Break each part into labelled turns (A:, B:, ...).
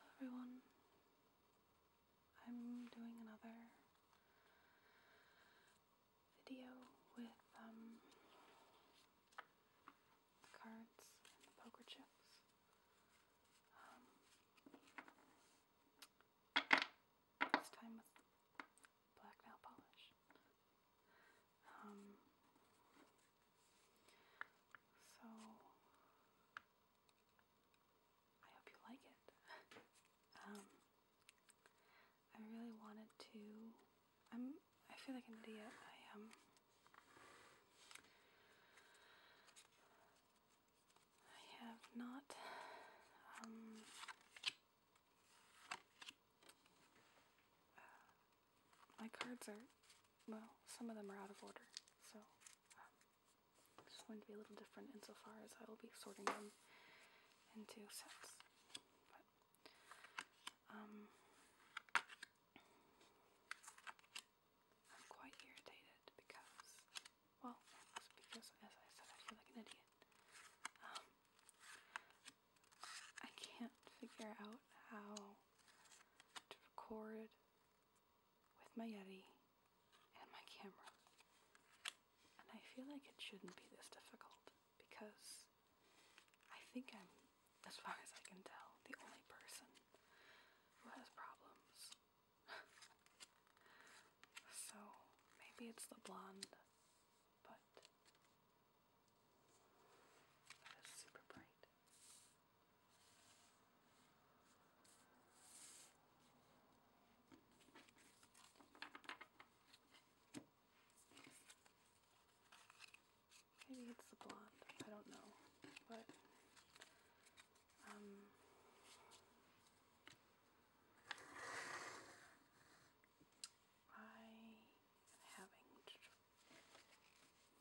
A: Hello everyone. I'm doing another video with um, cards and poker chips. Um, this time with black nail polish. Um, so I hope you like it. Um, I really wanted to. I'm. I feel like an idiot. I am. Um, I have not. Uh, my cards are, well, some of them are out of order, so um, going to be a little different insofar as I will be sorting them into sets. But, um, I'm quite irritated because, well, because as I said, I feel like an idiot. Um, I can't figure out how to record with my Yeti and my camera. And I feel like it shouldn't be this difficult because I think I'm, as far as I can tell, the only person who has problems. so maybe it's the blonde but that is super bright. Maybe it's the blonde. I don't know, but um, I am having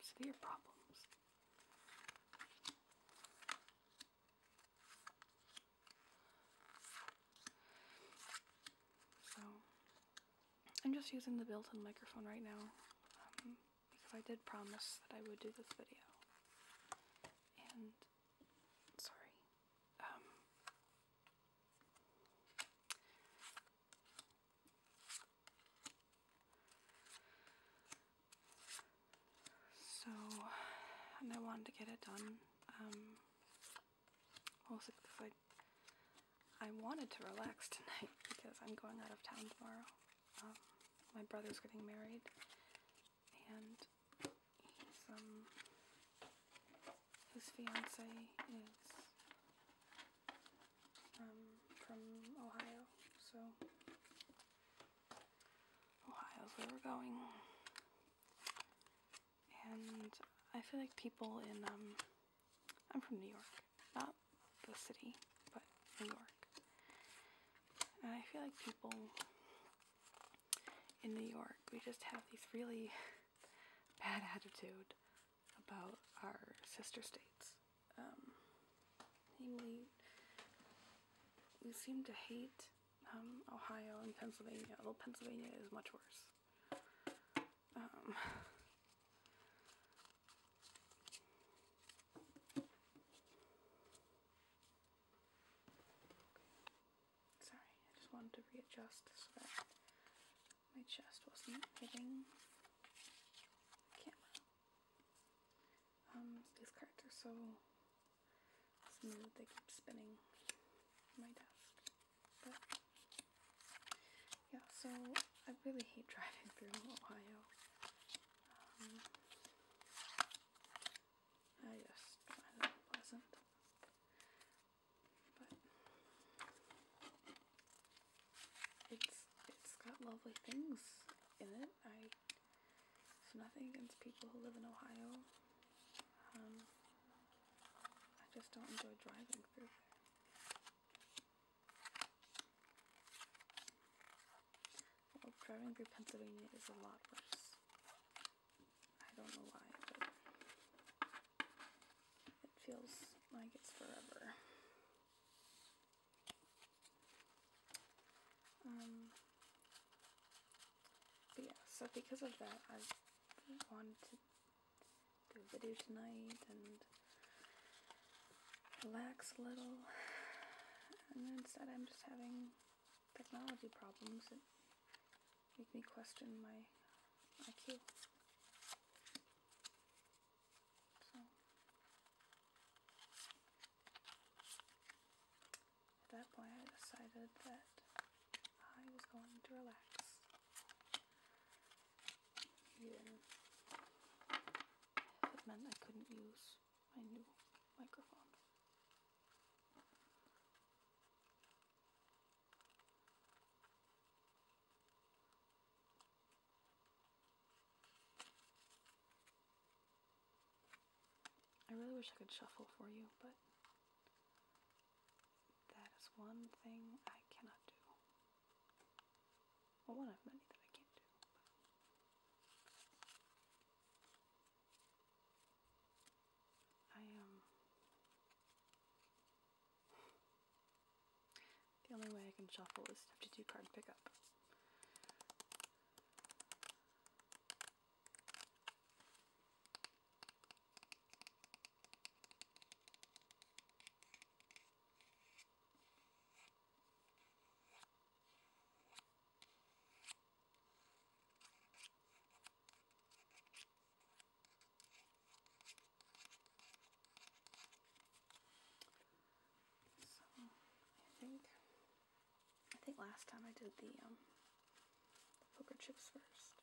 A: severe problems. So, I'm just using the built-in microphone right now um, because I did promise that I would do this video. And, sorry, um, so, and I wanted to get it done, also um, because I, wanted to relax tonight because I'm going out of town tomorrow. Um, my brother's getting married and he's, um, his fiance is um, from Ohio, so Ohio's where we're going. And I feel like people in, um, I'm from New York, not the city, but New York. And I feel like people in New York, we just have these really bad attitude about our sister states. Um, namely, we seem to hate um, Ohio and Pennsylvania, although Pennsylvania is much worse. Um, Sorry, I just wanted to readjust so that my chest wasn't hitting camera. Um, these cards are so smooth, they keep spinning my desk. But, yeah, so I really hate driving through Ohio. Um, I just find it But it's it's got lovely things in it. I it's nothing against people who live in Ohio. Um, I just don't enjoy driving through there. Well, driving through Pennsylvania is a lot worse. I don't know why, but it feels like it's forever. Um, but yeah, so because of that, I wanted to do a video tonight and relax a little. And instead I'm just having technology problems make me question my IQ. So, at that point, I decided that I was going to relax. Even if meant I couldn't use my new microphone. I really wish I could shuffle for you, but that is one thing I cannot do. Well, one of many that I can't do. I Um, the only way I can shuffle is to have to do card pickup. So I think I think last time I did the um, the poker chips first.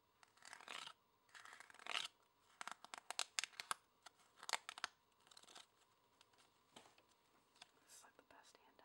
A: This is like the best hand ever.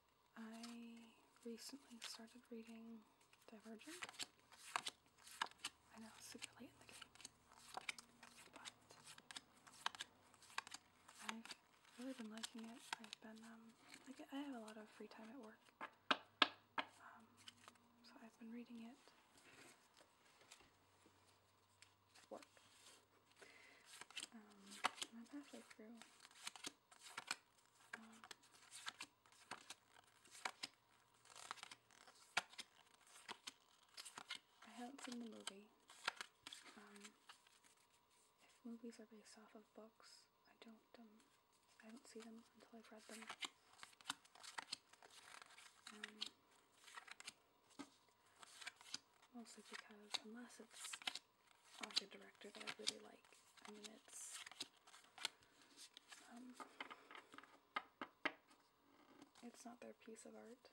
A: I recently started reading Divergent. I know, it's super late in the game, but I've really been liking it. I've been, like, um, I have a lot of free time at work, um, so I've been reading it work. Um, I'm halfway I haven't seen the movie. Um, if movies are based off of books, I don't, um, I don't see them until I've read them. Um, mostly because unless it's art director that I really like. I mean, it's um, it's not their piece of art,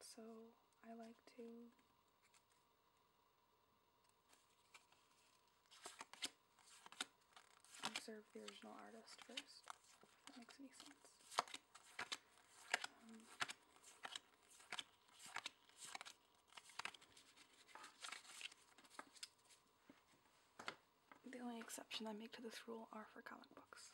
A: so I like to observe the original artist first, that makes any sense. Um, the only exception I make to this rule are for comic books.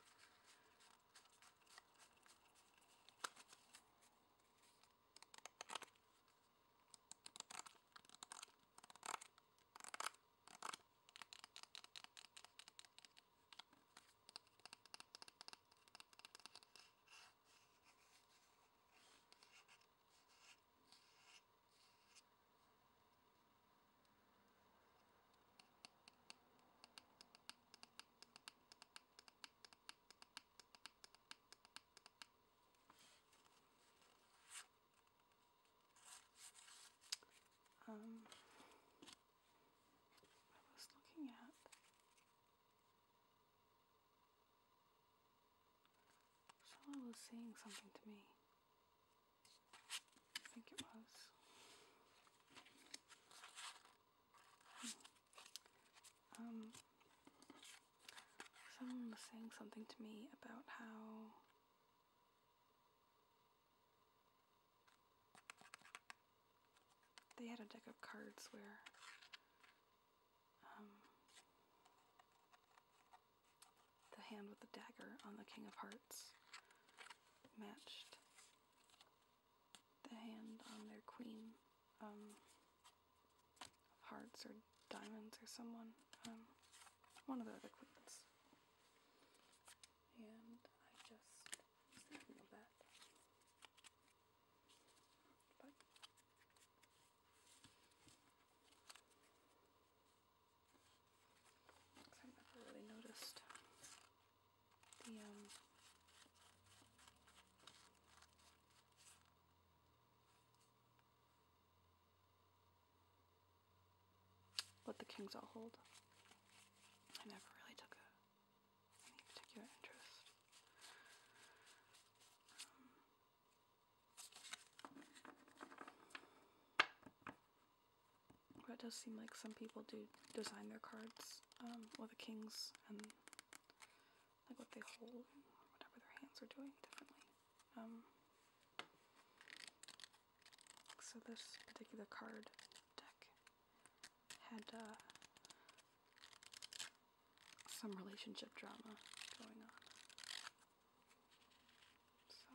A: Um, I was looking at Someone was saying something to me. I think it was. Hmm. Um, someone was saying something to me about how they had a deck of cards where um, the hand with the dagger on the King of Hearts matched the hand on their Queen um, Hearts or Diamonds or someone. Um, one of the other queens. And I just was that. I never really noticed the um, what the kings all hold. I never really took any particular interest. Um, but it does seem like some people do design their cards um, with the kings and like what they hold and whatever their hands are doing differently. Um, so this particular card deck had uh, some relationship drama going on. So.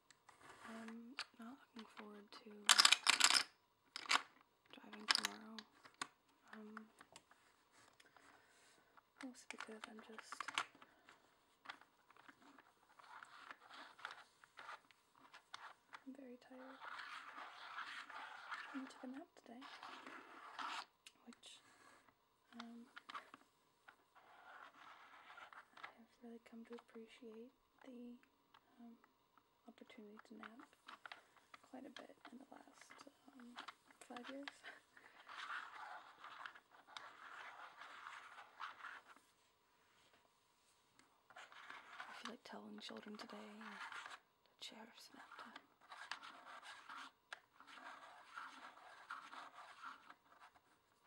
A: I'm not looking forward to driving tomorrow. Um, because I'm just I'm very tired. I took a nap today, which um, I've really come to appreciate the um, opportunity to nap quite a bit in the last um, five years. I feel like telling children today to cherish nap time.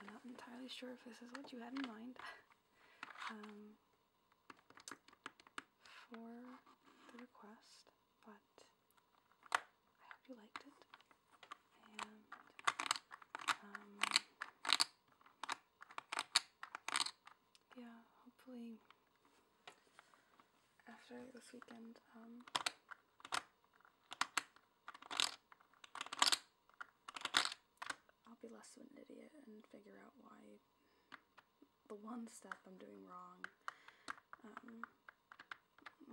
A: I'm not entirely sure if this is what you had in mind. Um, for the request, but I hope you liked it, and um, yeah, hopefully after this weekend, um, I'll be less of an idiot and figure out why the one step I'm doing wrong um,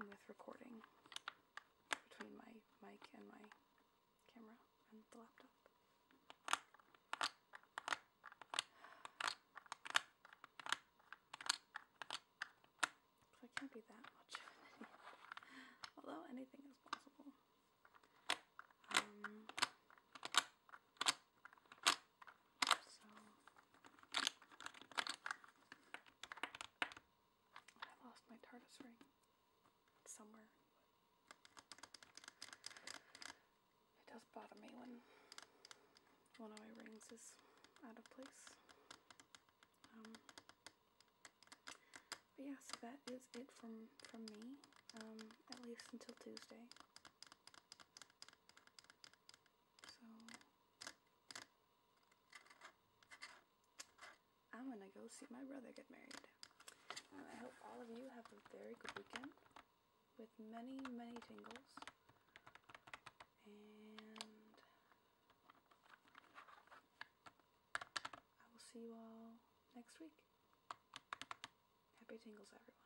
A: with recording between my mic and my camera and the laptop. I can't be that much Although anything is possible. Um, so I lost my TARDIS ring. somewhere. It does bother me when one of my rings is out of place. Um, but yeah, so that is it from, from me, um, at least until Tuesday. So, I'm gonna go see my brother get married. Um, I hope all of you have a very good weekend with many, many tingles. And I will see you all next week. Happy tingles, everyone.